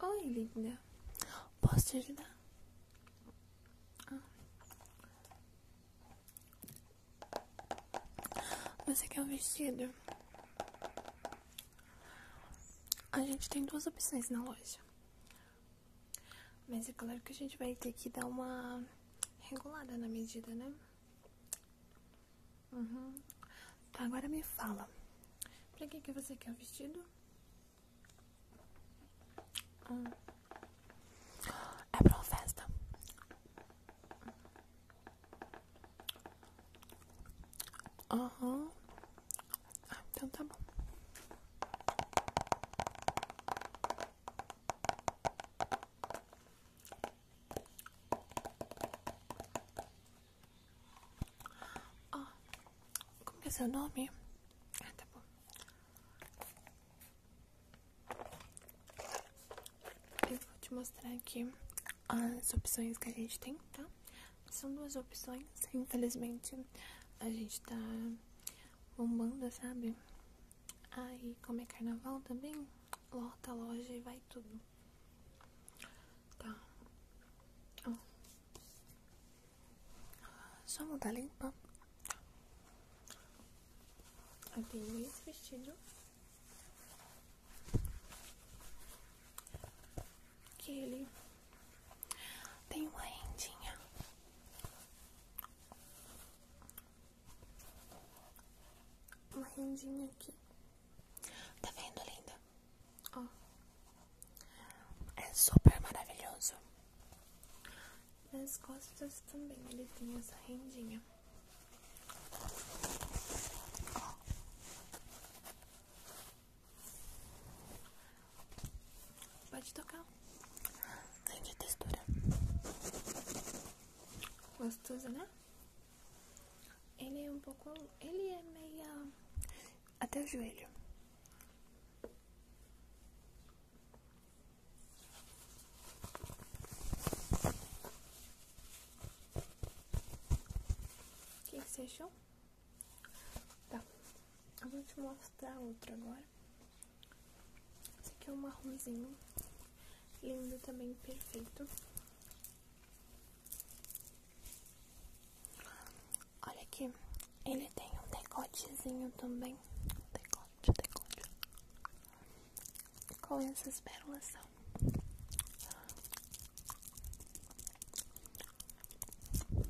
Oi, linda. Posso te ajudar? Ah. Você quer um vestido? A gente tem duas opções na loja. Mas é claro que a gente vai ter que dar uma regulada na medida, né? Uhum. Então, agora me fala. Pra que, que você quer o vestido? Ah. É pra uma festa. Ah, então tá bom. Oh, como que é seu nome? Ah, tá bom. Eu vou te mostrar aqui as opções que a gente tem, tá? São duas opções, infelizmente. A gente tá bombando, sabe? Aí, como é carnaval também, lota loja e vai tudo. Tá. Ó. Só mudar tá limpa. Eu tenho esse vestido. Que ele tem uma rendinha uma rendinha aqui. Tá vendo, linda? Ó. É super maravilhoso. Nas costas também ele tem essa rendinha. Ó. Pode tocar. Aqui a textura. Gostoso, né? Ele é um pouco. Ele é meio. Até o joelho. que, que você achou? Tá. vou te mostrar outro agora. Esse aqui é um marronzinho. Lindo também, perfeito. Olha aqui, ele tem um decotezinho também. Decote, decote. Com essas pérolas são.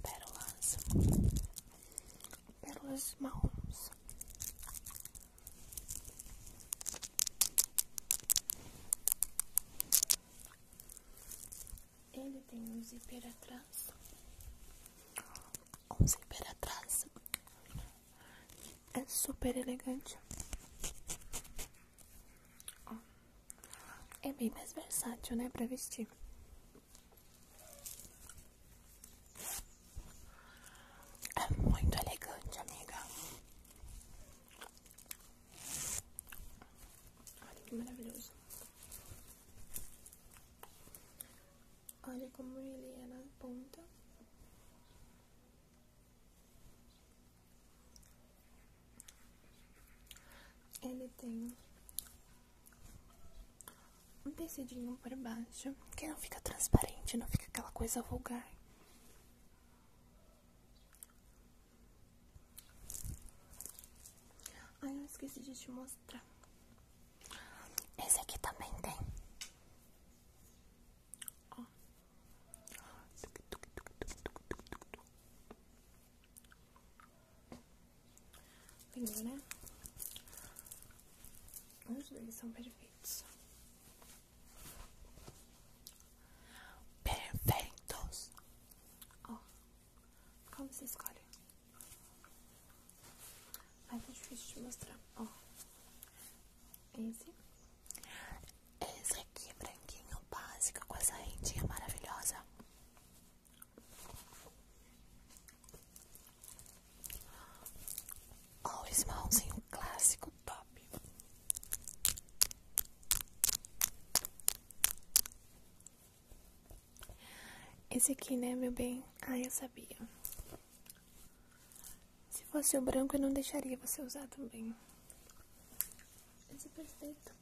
Pérolas pelas mãos. Ele tem um zíper atrás. Um zíper atrás. É super elegante. é bem mais versátil, né? Pra vestir. É muito elegante, amiga. Olha que maravilhoso. Olha como ele é na ponta. Ele tem um tecidinho por baixo, que não fica transparente, não fica aquela coisa vulgar. Ai, eu esqueci de te mostrar. Esse aqui também tem. Ó. Pegou, né? Os dois são perfeitos. Perfeitos. Ó, como você escolhe? Ai, tá difícil de mostrar. Ó, oh. esse. Esse aqui é branquinho, básico, com essa rendinha maravilhosa. Olha esse marronzinho clássico top. Esse aqui, né, meu bem? Ah, eu sabia. Se fosse o branco, eu não deixaria você usar também. Esse é perfeito.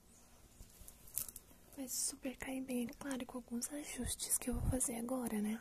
Vai super cair bem, é claro, com alguns ajustes que eu vou fazer agora, né?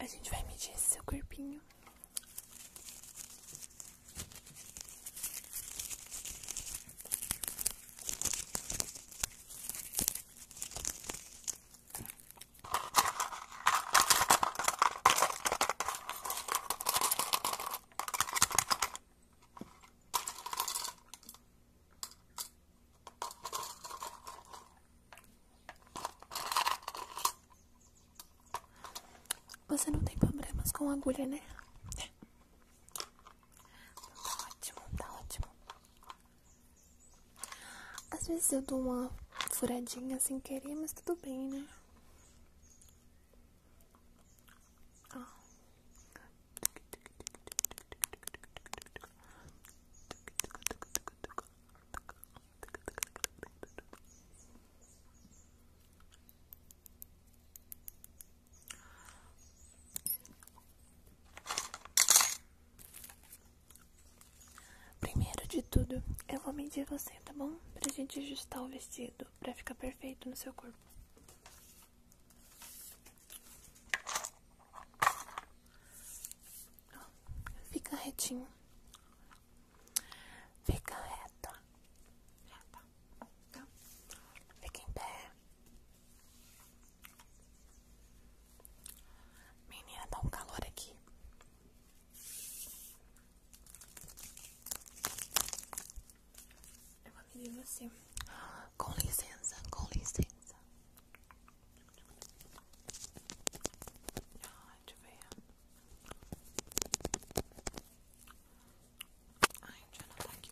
A gente vai medir seu corpinho. Você não tem problemas com agulha, né? Tá ótimo, tá ótimo. Às vezes eu dou uma furadinha sem querer, mas tudo bem, né? Ah. Primeiro de tudo, eu vou medir você, tá bom? Pra gente ajustar o vestido, pra ficar perfeito no seu corpo. Fica retinho. Fica reta. Tá. Fica em pé. Menina, dá um calor aqui. Eu vou medir você. Com licença, com licença. Ai, deixa eu ver. Ai, tchau eu anotar aqui.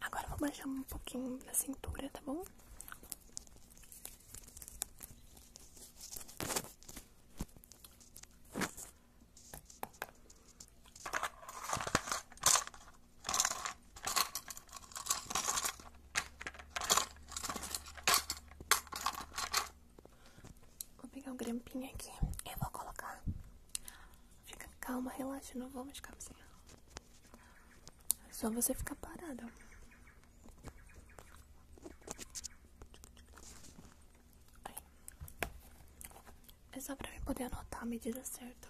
Agora vou baixar um pouquinho da cintura, tá bom? Vou pegar um grampinho aqui. e vou colocar. Fica calma, relaxa, não vamos de cabecinha. É só você ficar parado. É só pra eu poder anotar a medida certa.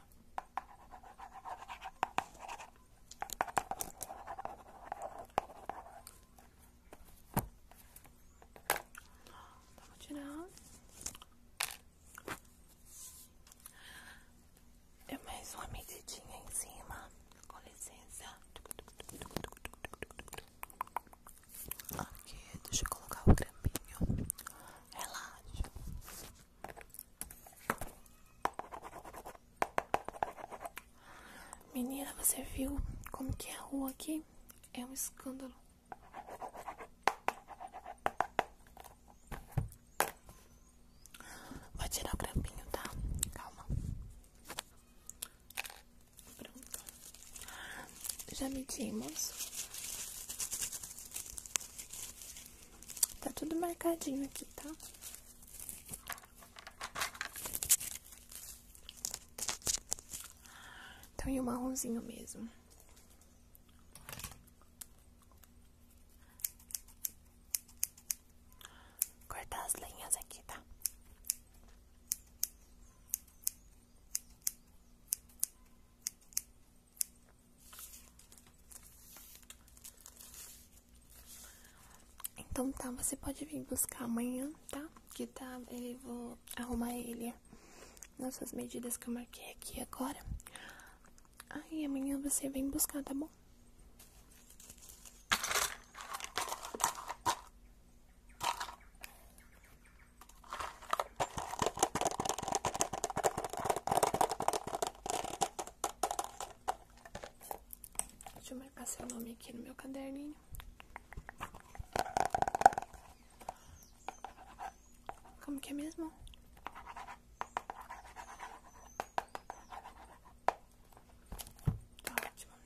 Tá tirar. Eu é mais uma medidinha em cima. Com licença. Ok, deixa eu colocar o creminho. Relaxa. Menina, você viu como que é a rua aqui? É um escândalo. Vai tirar o grampinho, tá? Calma. Pronto. Já medimos. Tá tudo marcadinho aqui, tá? Então, e o marronzinho mesmo. cortar as linhas aqui, tá? Então tá, você pode vir buscar amanhã, tá? Que tá, eu vou arrumar ele nossas medidas que eu marquei aqui agora. Aí amanhã você vem buscar, tá bom? Deixa eu marcar seu nome aqui no meu caderninho. Como que é mesmo? Tá